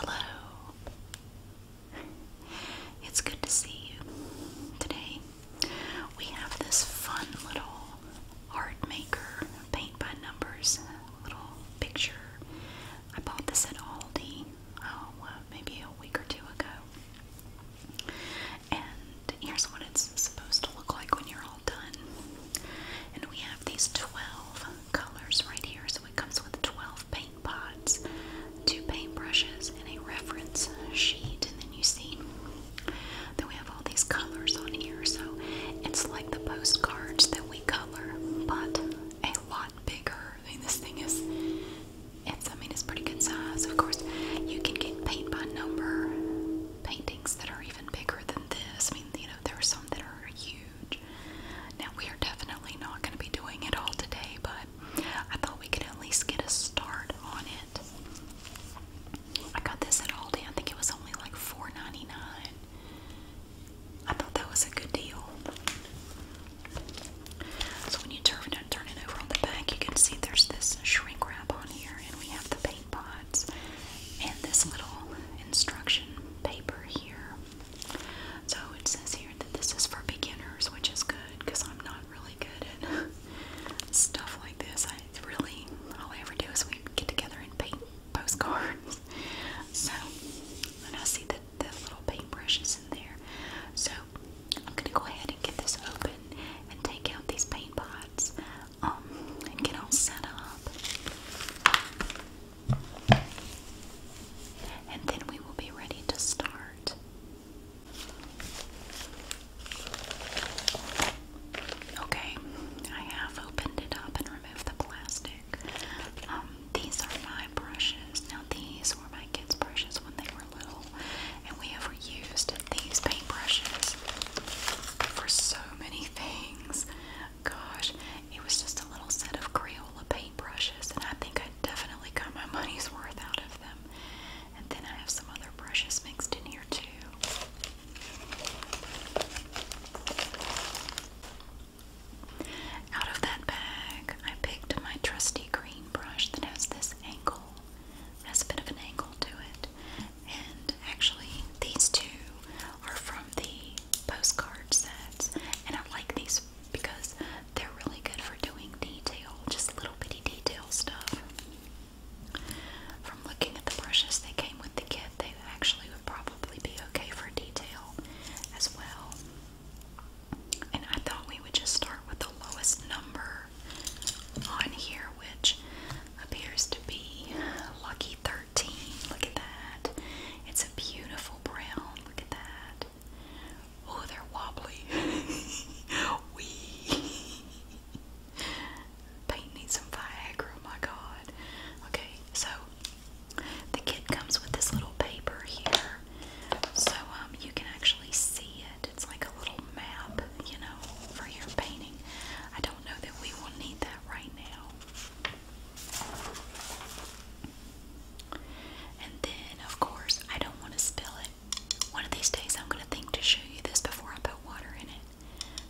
Hello. It's good to see you. Today we have this fun little art maker paint by numbers little picture. I bought this at Aldi, oh, maybe a week or two ago. And here's what it's supposed to look like when you're all done. And we have these 12 colors right here. So it comes with 12 paint pots, two paint brushes, and a reference sheet. And then you see that we have all these colors on here. So it's like the postcards that we color, but a lot bigger. I mean, this thing is. It's, I mean, it's pretty good size. Of course, you can get paint by number, painting that are even bigger than this. I mean, you know, there are some that are huge. Now, we are definitely not going to be doing it all today, but I thought we could at least get a start on it. I got this at Aldi. I think it was only like $4.99. I thought that was a good deal. So when you turn it, turn it over on the back, you can see there's this shrink wrap on here, and we have the paint seed and this little instruction paper here. So it says here that this is for beginners, which is good because I'm not really good at stuff like this. I really, all I ever do is we get together and paint postcards. So, and I see that the little paintbrush in there. So, I'm going to go ahead and get this open and take out these paint pots. Um, and get all set up. And then we will be ready to start. Okay, I have opened it up and removed the plastic. Um, these are my brushes. Now, these were my kids' brushes when they were little, and we have reused these paintbrushes for so many things. Gosh, it was just a little set of Crayola paintbrushes, and I think I definitely got my money's worth out of them. And then I have some other brushes mixed in here too. Out of that bag, I picked my trusty green brush that has this angle. has a bit of an angle to it and actually these two are from the postcard sets and I like these because they're really good for doing detail, just little bitty detail stuff. From looking at the brushes they came with the kit, they actually would probably be okay for detail as well. And I thought we would just start with the lowest number on here, which appears to be Lucky 13. Look at that. It's a beautiful brown. Look at that. Oh, they're wobbly. Wee. Paint needs some Viagra, oh my god. Okay, so the kit comes with this little paper here. So um you can actually see it. It's like a little map, you know, for your painting. I don't know that we will need that right now. And then, of course, I don't want to spill it. One of these days, I'm going to think to show you this before I put water in it.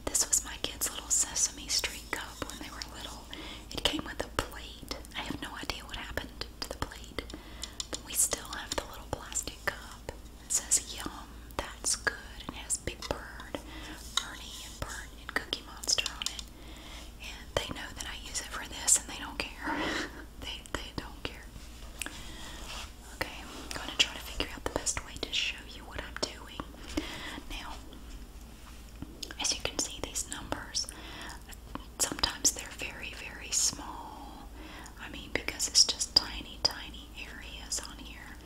This was my kids' little Sesame Street cup when they were little. It came with a plate. I have no idea what happened to the plate, but we still have the little plastic cup. It says yum, that's good, and it has Big Bird, Ernie, and Bert, and Cookie Monster on it. And they know that I use it for this, and they don't care. they they don't care. Okay, I'm gonna try to figure out the best way to show you what I'm doing. Now, as you can see, these numbers sometimes they're very very small. I mean, because it's just tiny, tiny areas on here.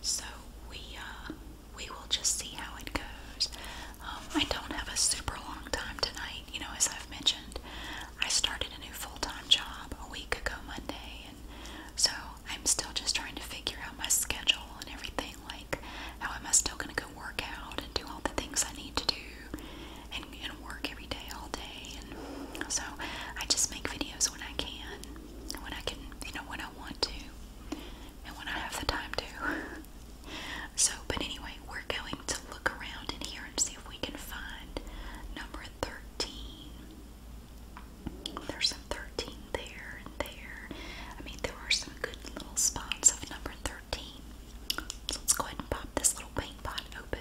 So we uh, we will just see how it goes. Um, I don't have a super long time tonight. You know, as I've mentioned, I started a new full-time job a week ago Monday, and so I'm still just trying to figure out my schedule and everything. Like, how am I still going to go work out and do all the things I need to do? And, and work every day all day and so I just make videos when I can, when I can, you know, when I want to, and when I have the time to. so, but anyway, we're going to look around in here and see if we can find number 13. There's some 13 there and there. I mean, there are some good little spots of number 13. So let's go ahead and pop this little paint pot open.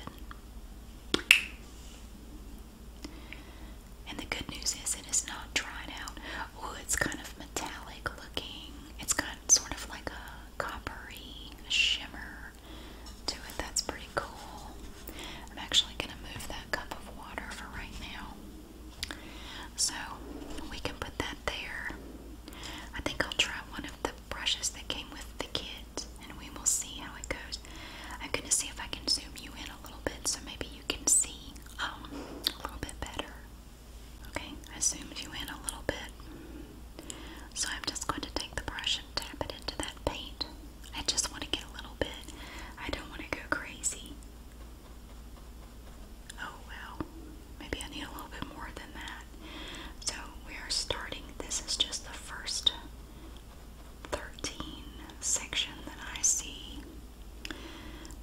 And the good news is it is not dried out. Oh, it's kind of metallic looking. It's got sort of like a coppery shimmer to it. That's pretty cool. I'm actually going to move that cup of water for right now. So we can put that there. I think I'll try one of the brushes that came with the kit and we will see how it goes. I'm going to see if I can zoom you in a little bit so maybe you can see um, a little bit better. Okay, I zoomed you in a little bit. So I'm just going to take the brush and tap it into that paint. I just want to get a little bit. I don't want to go crazy. Oh well, maybe I need a little bit more than that. So we are starting. This is just the first 13 section that I see.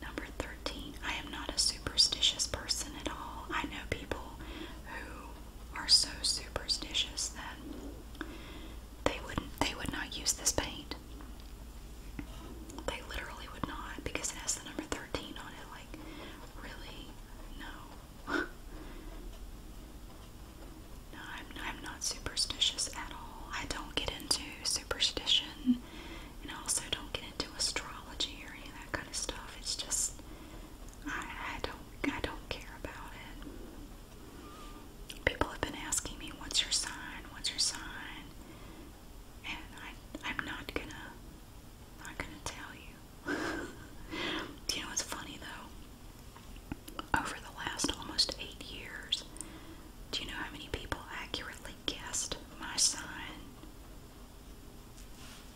Number 13. I am not a superstitious person at all. I know people who are so superstitious that they wouldn't they would not use this paint. They literally would not because it has the number 13 on it like really no. No, I'm, not superstitious at all. I don't get into superstition, and I also don't get into astrology or any of that kind of stuff. It's just I, don't I don't care about it. People have been asking me, "What's your sign? What's your sign?" And I I'm not gonna not gonna tell you. Do you know what's funny though? over the last almost eight years, do you know how many people accurately guessed my sign?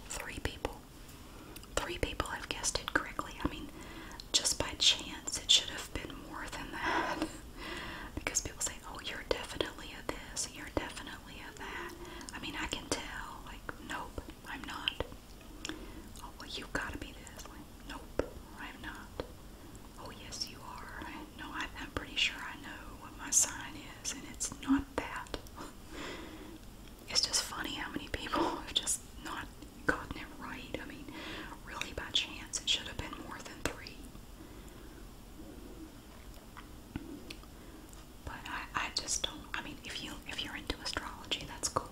Three people. Three people have guessed it correctly. I mean, just by chance, it should have been more than that. because people say, oh, you're definitely a this, you're definitely a that. I mean, I can tell. Like, nope. I'm not. Oh, well, you've got to be this. Like, nope, I'm not. Oh, yes, you are. I, no, I, I'm pretty sure I know what my sign is, and it's not that. it's just funny how many people have just not gotten it right. I mean, really, by chance, it should have been more than three. But I, I just don't. I mean, if you if you're into astrology, that's cool.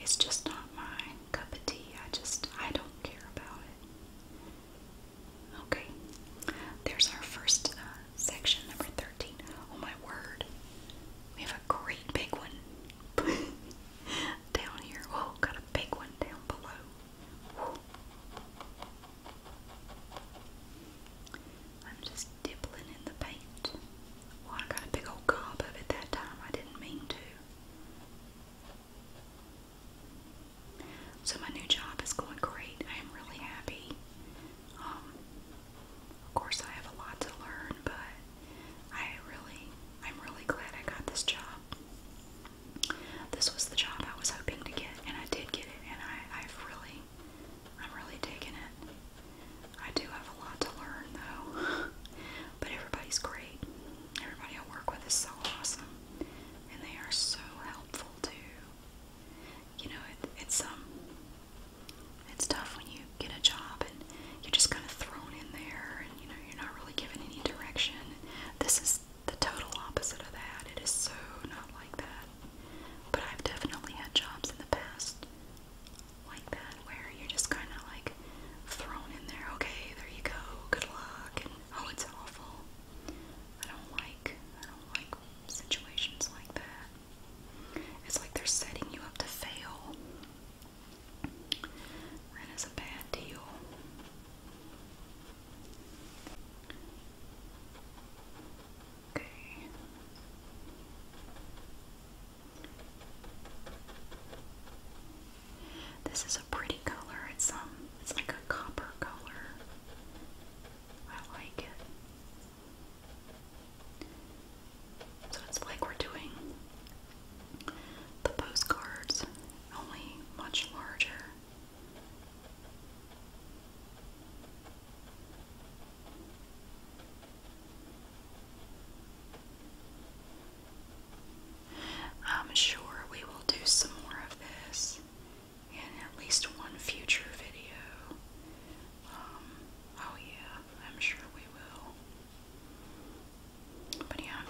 It's just not my cup of tea. I just, I don't care about it. Okay, there's our first uh, section, number 13. Oh my word, we have a great big one down here. Oh, got a big one down below. Whoa. I'm just dibbling in the paint. I got a big old gob of it that time. I didn't mean to. So my new job is going great. I am really happy. Um, of course, I have a lot to learn, but I really, I'm really glad I got this job. This was the job I was hoping to get, and I did get it, and I, I've really, I'm really digging it. I do have a lot to learn though. But everybody's great. Everybody I work with is so awesome. And they are so helpful too. You know, it, it's um it's tough when you get a job and you're just kind of thrown in there and you know you're not really given any direction. This is the total opposite of that. It is so not like that. But I've definitely had jobs in the past like that where you're just kind of like thrown in there. Okay, there you go. Good luck. And oh, it's awful. I don't like. I don't like situations like that. It's like they're setting you up to fail. is a bad deal. Okay. This is a pretty color. It's um it's like a copper color. I like it. So it's like we're doing the postcards, only much larger. I'm sure we will do some more of this in at least one future video. Um, oh, yeah, I'm sure we will. But yeah,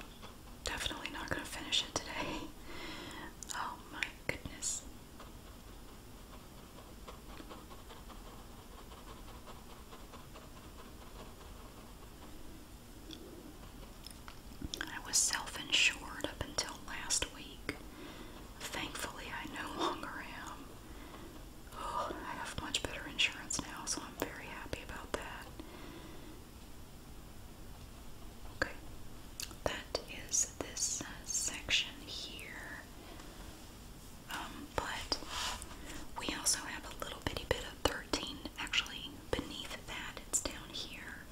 definitely not going to finish it today. Oh my goodness. I was self insured up until last week. Thankfully, I no longer am. Oh, I have much better insurance now, so I'm very happy about that. Okay, that is this uh, section here. Um, but we also have a little bitty bit of 13 actually beneath that. It's down here.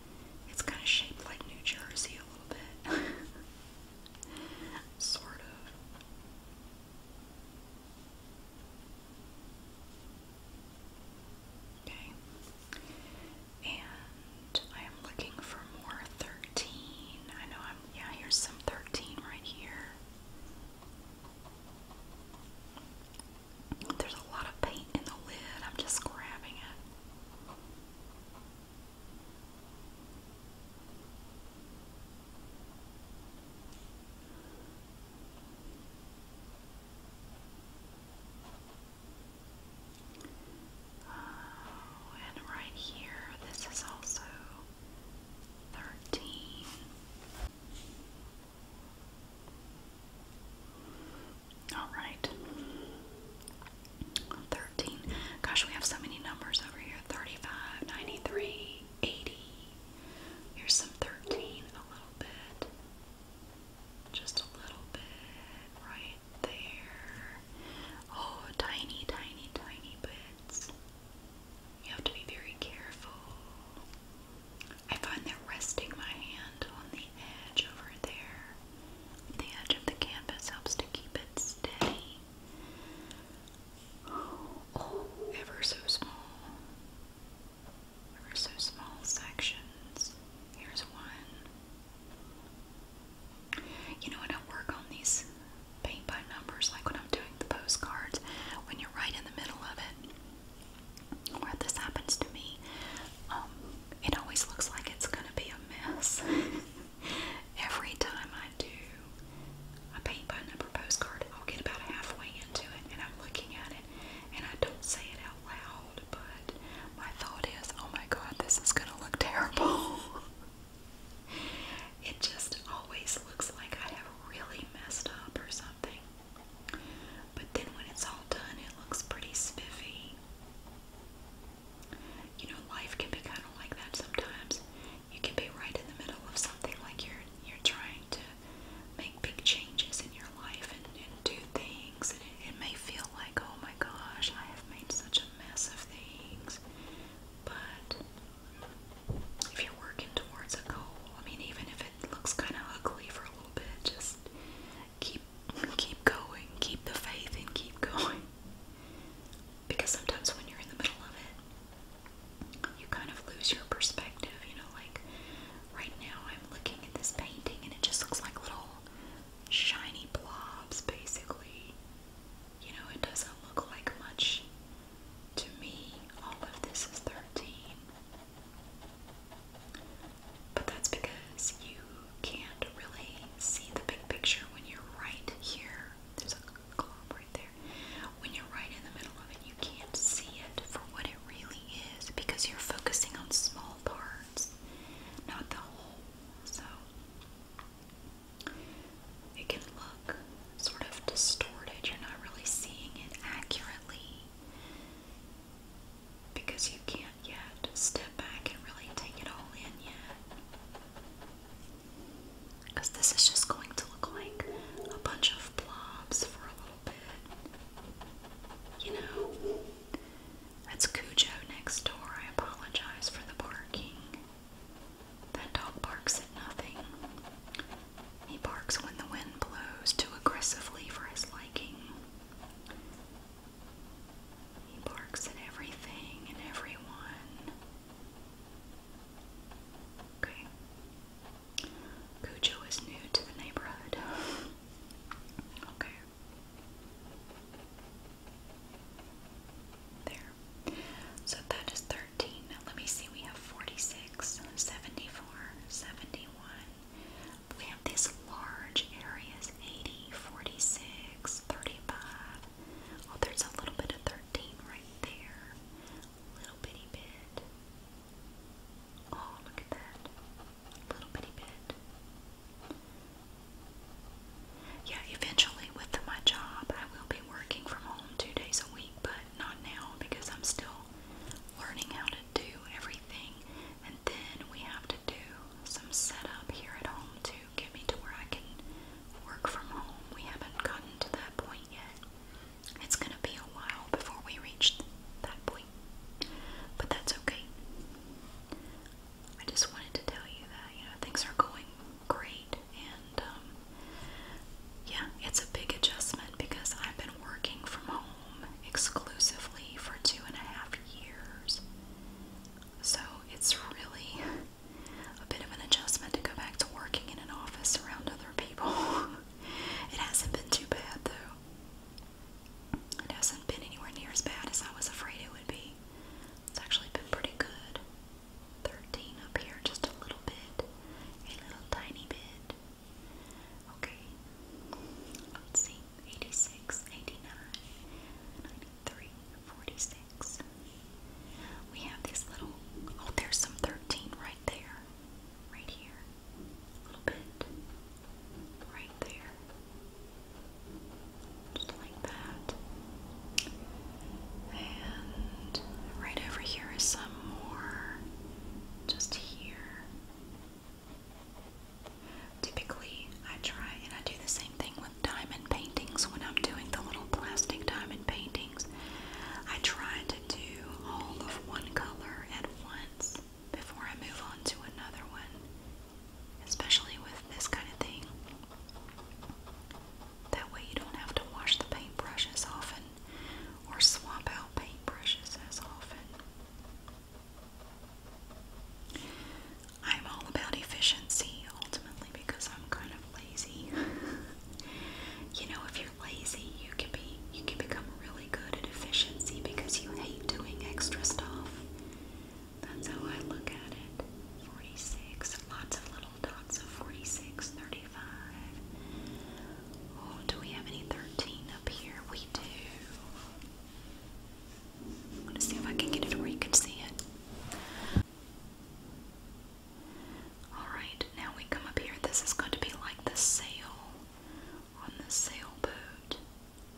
It's kind of shaped like New Jersey a little bit. sort of. Okay. And I am looking for more 13. I know I'm, yeah, here's some 13 right here. There's a lot of paint in the lid. I'm just grabbing it. Oh, and right here, this is also thirteen. All right. 13. Gosh, we have so many numbers over here. 35, Here's some 13, a little bit. Just a little bit right there. Oh, tiny, tiny, tiny bits. You have to be very careful. I find that resting my hand on the edge over there, the edge of the canvas, helps to keep it steady. Oh, ever so small. Ever so small sections. Here's one. You know what? I work on these paint by numbers like when I'm doing the postcards, when you're right in the middle of it, where this happens to me, um, it always looks like it's going to be a mess. Every time I do a paint by number postcard, I'll get about halfway into it and I'm looking at it and I don't say it out loud, but my thought is, oh my god, this is going to look terrible. It just always looks like I have really messed up or something. But then when it's all done, it looks pretty spiffy. You know, life can be kind of like that sometimes. You can be right in the middle of something like you're you're trying to make big changes in your life and, do things, and it may feel like, oh my gosh, I have made such a mess of things. But if you're working towards a goal, I mean, even if it looks kind of ugly for a little bit, just keep keep going, keep the faith, and keep going. Because sometimes when you're in the middle of it, you kind of lose your perspective. You know, like right now, I'm looking at this painting, and it just looks like little shiny blobs, basically. You know, it doesn't look like much to me, all of this is 13. But that's because you can't really see the big picture when you're right here. There's a globe right there. When you're right in the middle of it, you can't see it for what it really is because you're focusing on small parts, not the whole. So it can look sort of distorted. You're not really seeing it accurately because you can't yet step back and really take it all in yet. Because this is just going to look like a bunch of blobs for a little bit. You know? That's Cujo next door. I apologize for the barking. That dog barks at nothing. He barks when the wind blows too aggressively for his liking. He barks at everything and everyone. Okay. Cujo is new to the neighborhood. Okay. There. So that is 13. Now let me see, we have 46, 74, 71. We have these large areas 80, 46, 35. Oh, there's a little bit of 13 right there. Little bitty bit. Oh, look at that. Little bitty bit. Yeah, eventually with my job, I will be working from home two days a week, but not now because I'm still learning how to do everything. And then we have to do some setup here at home to get me to where I can work from home. We haven't gotten to that point yet. It's going to be a while before we reach that point, but that's okay. I just wanted to tell you that, you know, things are going great it. And um, yeah, it's a big adjustment because I've been working from home exclusively for two and a half years. So it's really a bit of an adjustment to go back to working in an office around other people. it hasn't been too bad though. It hasn't been anywhere near as bad as I was afraid it would be. It's actually been pretty good. 13 up here just a little bit, a little tiny bit. Okay, let's see 86, 89, 93, 46. We have this little, oh, there's some 13 right there, right here, a little bit, right there, just like that. And right over here is some more, just here. Typically, I try and I do the same thing with diamond paintings when I'm doing the little plastic diamond paintings. I try to do all of one color at once before I move on to another one, especially with this kind of thing. That way you don't have to wash the paintbrush as often or swap out paintbrushes as often. I'm all about efficiency ultimately because I'm kind of lazy. you know, if you're lazy, you can be you can become really good at efficiency because you hate doing extra stuff. That's how I look at it. 46. Lots of little 46, 35. do we have any 13 up here? We do. I'm see if I can get it where you can see it. Alright, now we come up here. This is going to be like the sail on the sailboat.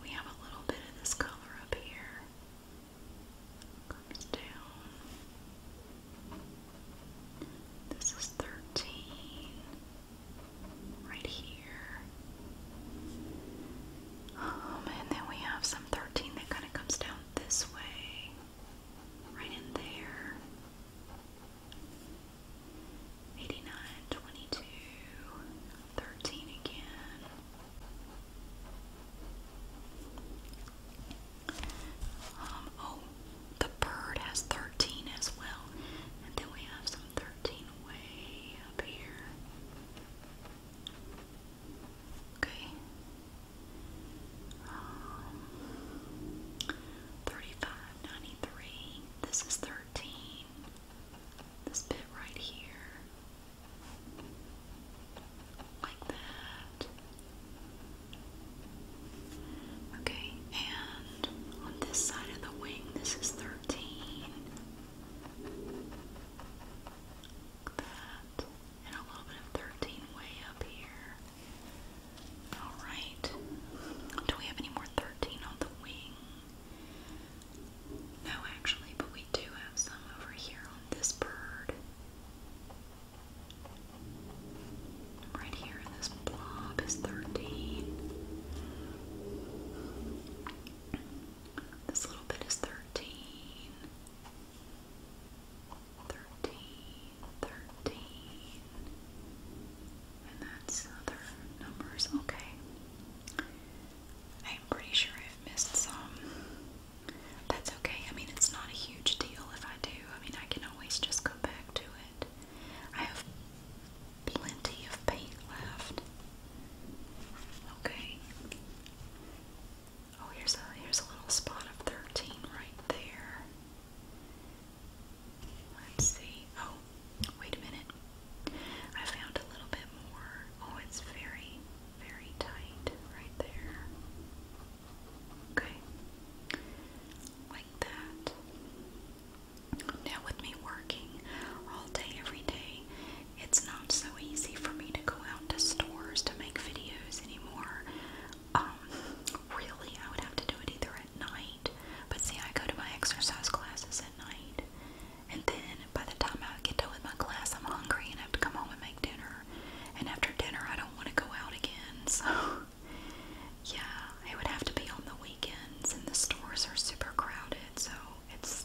We have a little bit of this color up here comes down. This is 13 right here. Um, and then we have some 13 that kind of comes down this way, right in there. 89, again. Um, oh, the bird has 13 as well. And then we have some 13 way up here. Okay. Um, This is 13. This bit right here. Like that. Okay, and on this side of the wing, this is 13. Like that. And a little bit of 13 way up here. Alright. Do we have any more 13 on the wing? No, actually, but we do have some over here on this bird. Right here this blob is 13. This little bit is 13. And that's other numbers. Okay. I'm pretty sure I've missed some. That's okay. I mean, it's not a huge deal if I do. I mean, I can always just go back to it. I have plenty of paint left. Okay. Oh, here's a here's a little spot of 13 right there. Let's see. Oh, wait a minute. I found a little bit more. Oh, it's very, very tight right there. Okay. Like that. Now, with me working all day, every day, it's not so easy for me to go out to stores to make videos anymore. Um, really, I would have to do it either at night, but see, I go to my exercise classes at night, and then by the time I get done with my class, I'm hungry and I have to come home and make dinner. And after dinner, I don't want to go out again. So, yeah, it would have to be on the weekends, and the stores are super crowded. So it's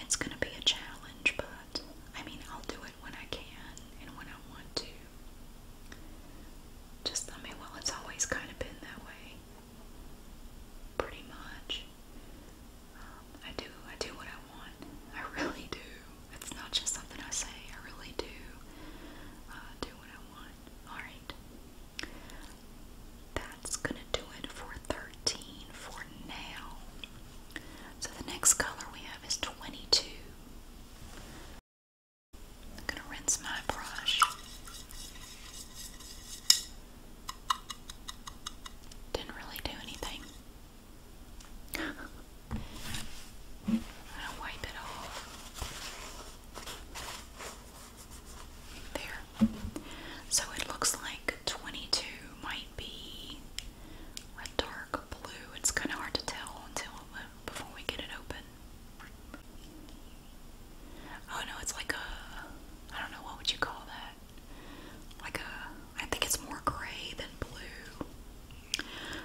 it's gonna be a challenge. But I mean, I'll do it when I can and when I want to. Just I mean, well, it's always kind of been that way, pretty much. I do I do what I want. I really do. It's not just something I say. I really do uh, do what I want. All right. That's gonna do it for 13 for now. So the next color we have is 22. I'm gonna rinse my brush. Didn't really do anything. I'll wipe it off. There. So it looks like 22 might be a dark blue. It's kind of hard to tell until uh, before we get it open. Oh no, it's like a I don't know what would you call that that. Like a, uh, I think it's more gray than blue.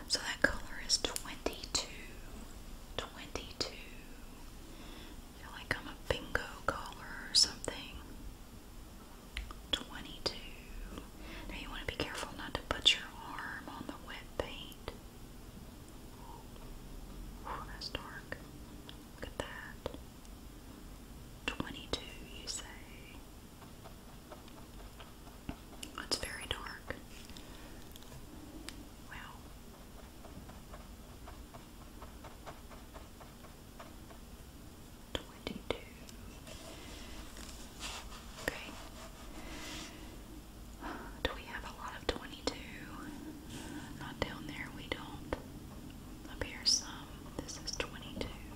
So that color is 22. feel like I'm a bingo caller or something. 22. Now you want to be careful not to put your arm on the wet paint. that's dark. Look at that. 22, you say. It's very dark. Wow. Twenty two. Okay. Do we have a lot of twenty two? Not down there, we don't. Up here, some. This is twenty two.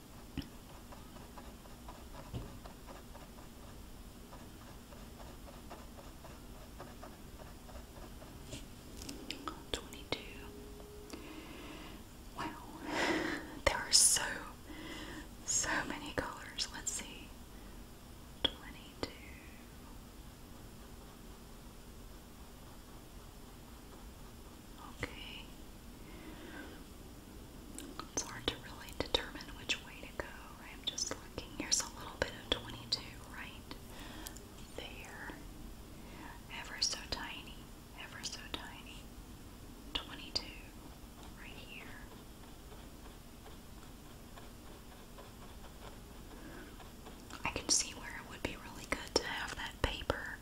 22. Wow, there are so, so many colors. Let's see. 22. Okay. It's hard to really determine which way to go. I'm just looking. Here's a little bit of 22 right there. Ever so tiny, ever so tiny. 22 right here. I can see where it would be really good to have that paper,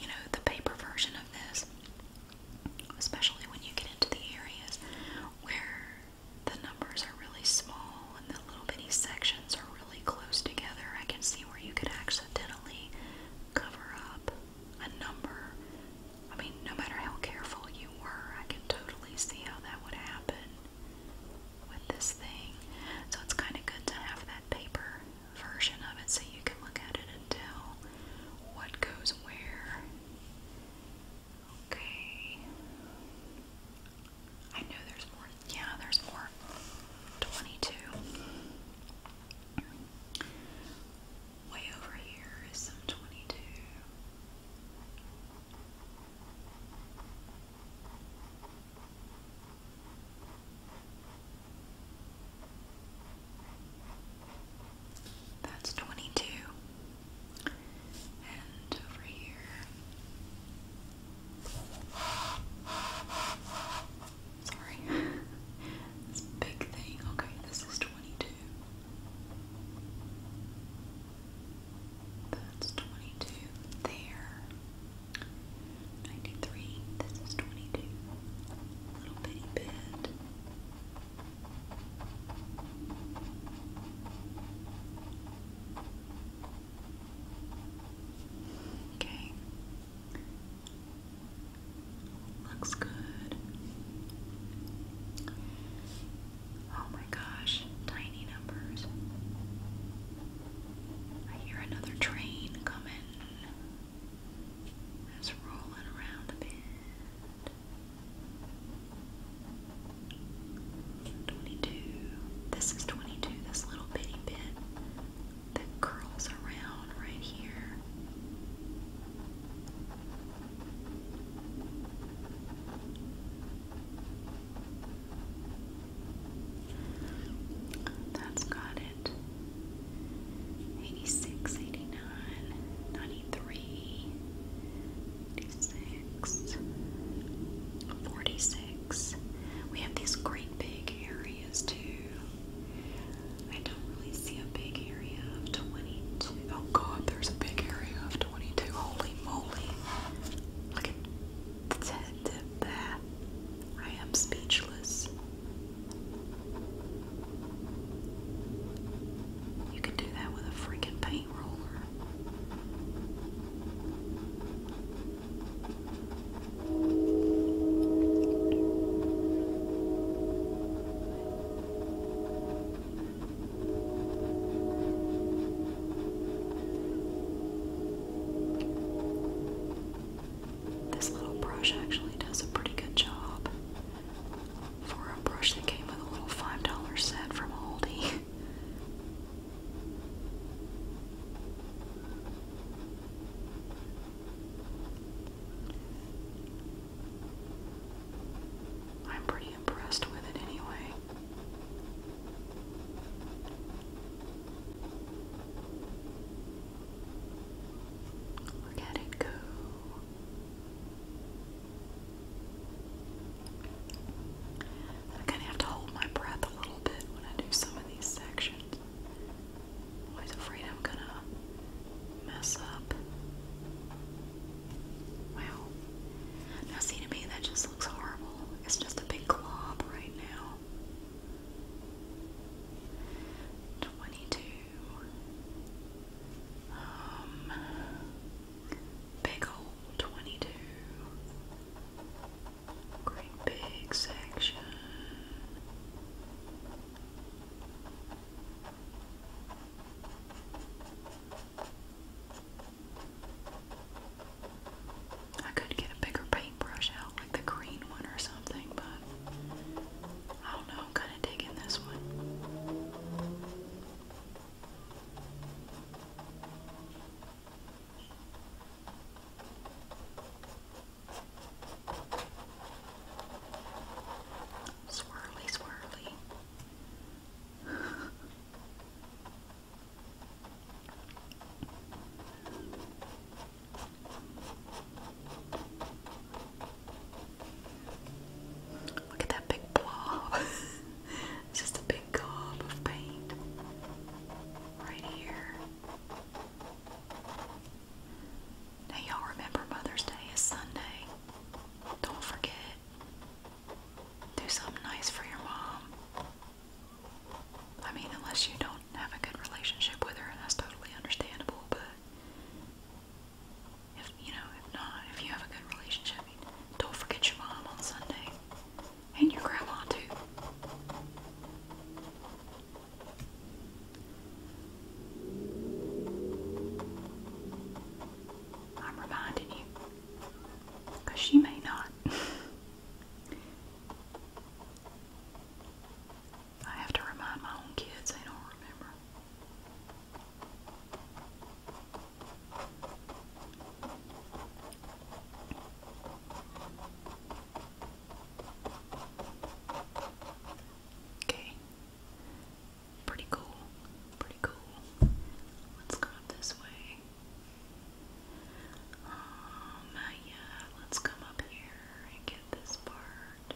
you know, the paper version of this especially when you get into the areas where the numbers are really small and the little bitty sections are really close together. I can see where you could accidentally cover up a number. I mean, no matter how careful you were, I can totally see how that would happen with this thing. So it's kind of good to have that paper version of it so you can look at it and tell what goes where. Okay. I know there's more. Yeah, there's more. 22. Way over here is some 22. That's 22. And over here. Sorry. this big thing. Okay, this is 22. That's 22 there. 93. This is 22. little bitty bit. Okay. Looks good. Oh my gosh, tiny numbers. I hear another train coming. That's rolling around a bit. Twenty-two. This is twenty-two. This little bitty bit that curls around right here. That's got it it. 86, 89, 93, We have these great big areas too. I don't really see a big area of 22. Oh god, there's a big area of 22. Holy moly. Look at that. I am speechless. You could do that with a freaking paint roller. This little brush actually does a pretty good job for a brush that came with a little $5 set from Aldi. I'm pretty impressed with it anyway. Look at it go. I kind of have to hold my breath a little bit when I do some of these sections. always afraid I'm gonna mess up. Wow. Now, see to me, that just looks horrible. It's just a big glob right now. 22 um, big hole 22. Great big section. I could get a bigger paintbrush out, like the green one or something, but I don't know kind of digging this one. Swirly, swirly. Look at that big blob. it's just a big gob of paint right here. Now, y'all remember Mother's Day is Sunday. Don't forget. Do something nice for your mom. I mean, unless you don't have a good relationship with her, and that's totally understandable, but if you know, if not, if you have a good relationship, don't forget your mom on Sunday. And your grandma too. I'm reminding you. she may not. I have to remind my own kids they don't remember. Okay. Pretty cool. Pretty cool. Let's go up this way. Um, let's come up here and get this part.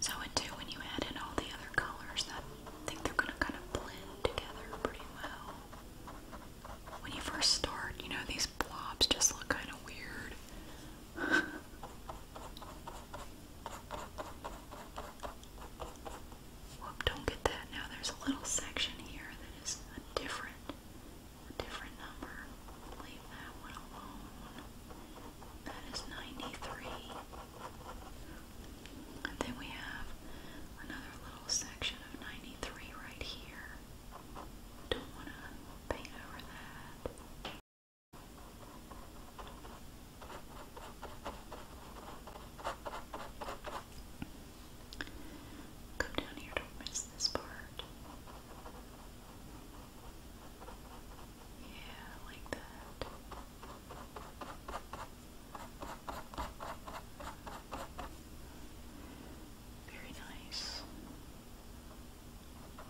So, too, when you add in all the other colors, I think they're going to kind of blend together pretty well. When you first start, you know, these blobs just look kind of weird. don't get that. Now there's a little section here that is a different, different number. Leave that one alone. That is 93. then we have another little section of 93 right here. Don't want to paint over that. Go down here, don't miss this part. Yeah, like that. Very nice.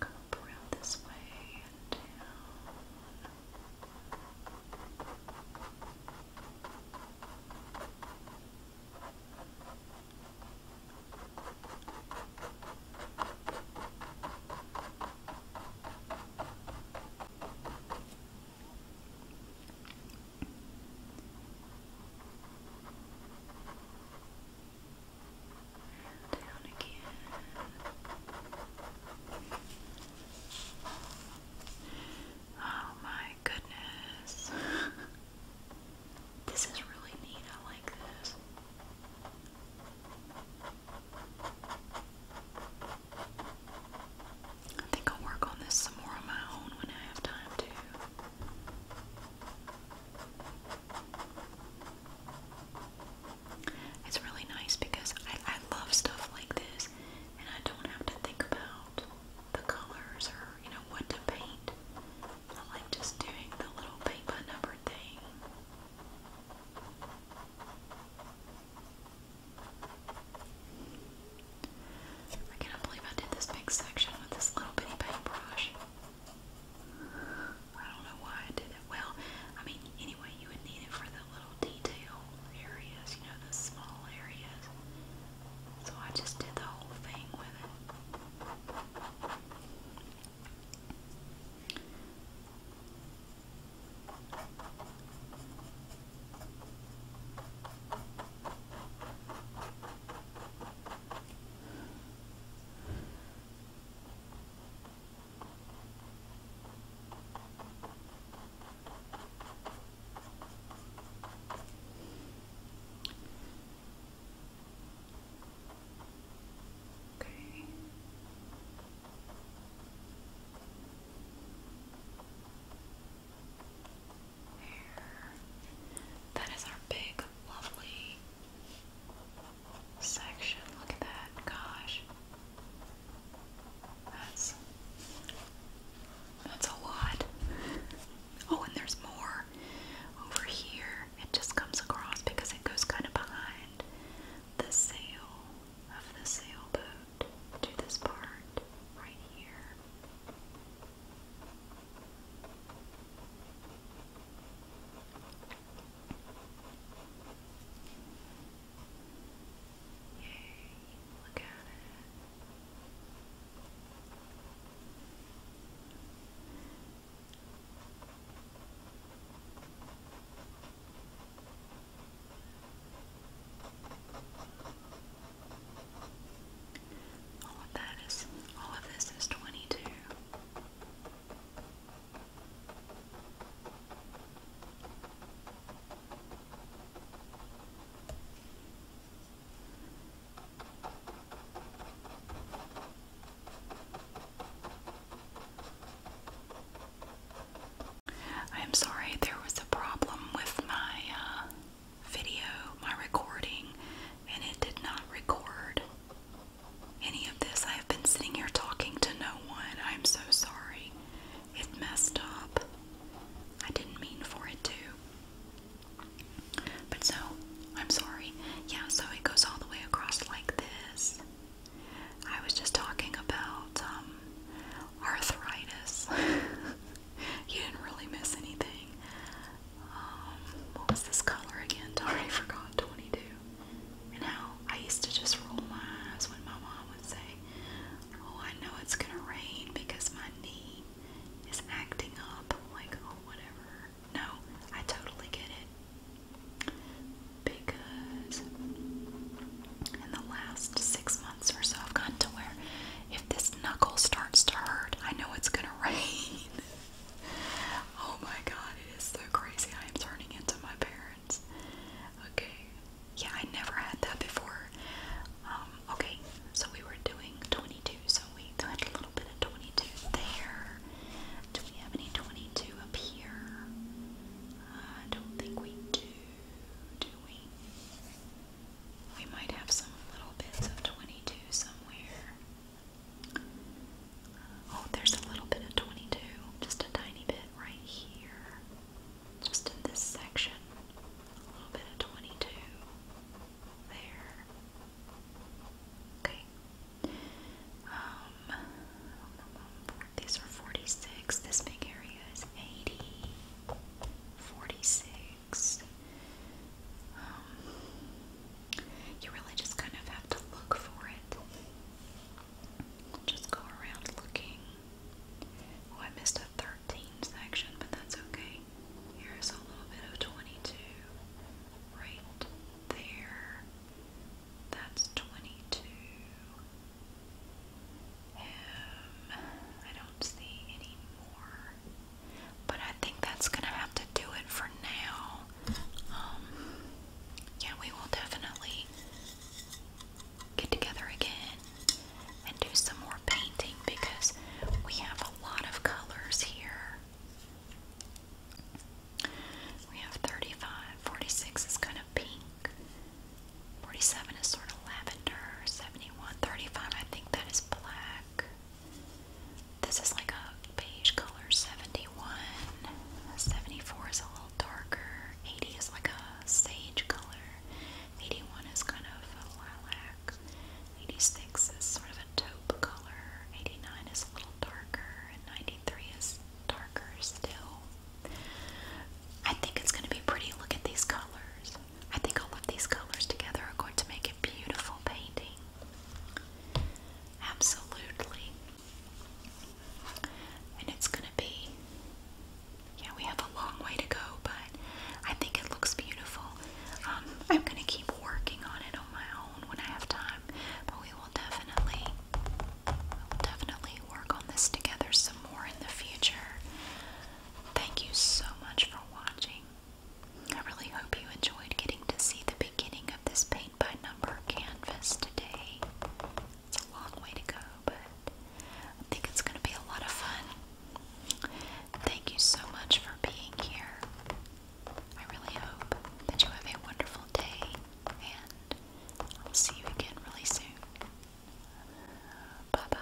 We'll around this way and down. Down again. Oh my goodness. this is really neat. I like this. I think I'll work on this some more on my own when I have time to. It's really nice because I, love stuff like this and I don't have to think about the colors or, you know, what to paint. I like just doing the little paint by number thing. I cannot believe I did this big section with this little bitty paintbrush. I don't know why I did it. Well, I mean, anyway, you would need it for the little detail areas, you know, the small areas. So I just did the whole thing with it. Okay. There. That is our big, lovely section. Look at that. Gosh. That's that's a lot. Oh, and there's more over here. It just comes across because it goes kind of behind the sail of the sailboat to this part right here. Yay, look at it. All of that is all of this is twenty two. I'm sorry, there was a problem with my uh, video, my recording, and it did not record any of this. I have been sitting here talking to no one. I'm so sorry. It messed up. I didn't mean for it to. But so, I'm sorry. Yeah, so it goes all the way across like this. I was just talking about um, arthritis. you didn't really miss anything. Um, what was this color again? I forgot. 22. You know, I used to just roll my eyes when my mom would say, Oh, I know it's gonna rain because my knee is acting up. Like, oh, whatever. No, I totally get it. Because in the last six months or so, I've gotten to where if this knuckle starts to hurt, I know it's gonna rain oh my god, it is so crazy. I am turning into my parents. Okay. Yeah, I never had that before. Um, okay, so we were doing 22, so we had a little bit of 22 there. Do we have any 22 up here? I don't think we do, do we? We might have some little bits of 22 somewhere. Oh, there's a little bit of 22, just a tiny bit right here, just in this section. A little bit of 22 there. Okay. Um, these are 46. This big area is 80. 46. Um, you really just kind of have to look for it. Just go around looking. Oh, I missed a 13 section, but that's okay. Here's a little bit of 22 right there. That's 22. I don't see any more. But I think that's going to have to do it for now. Um, yeah, we will definitely get together again and do some more painting because we have a lot of colors here. We have 35, 46 is kind of pink, 47 is sort of lavender, 71, 35 I think that is black, this is like a beige color 71. 74 is a little darker. 80 is like a sage color. 81 is kind of a lilac. 86 is sort of a taupe color. 89 is a little darker. And 93 is darker still. I think it's going to be pretty. Look at these colors. I think all of these colors together are going to make a beautiful painting. Absolutely. And it's gonna be, yeah, we have a long way to go, but I think it looks beautiful. Um, I'm gonna keep working on it on my own when I have time, but we will definitely, definitely work on this together some more in the future. Thank you so much for watching. I really hope you enjoyed getting to see the beginning of this paint by number canvassed today. It's a long way to go, but I think it's going to be a lot of fun. Thank you so much for being here. I really hope that you have a wonderful day, and I'll see you again really soon. Bye bye.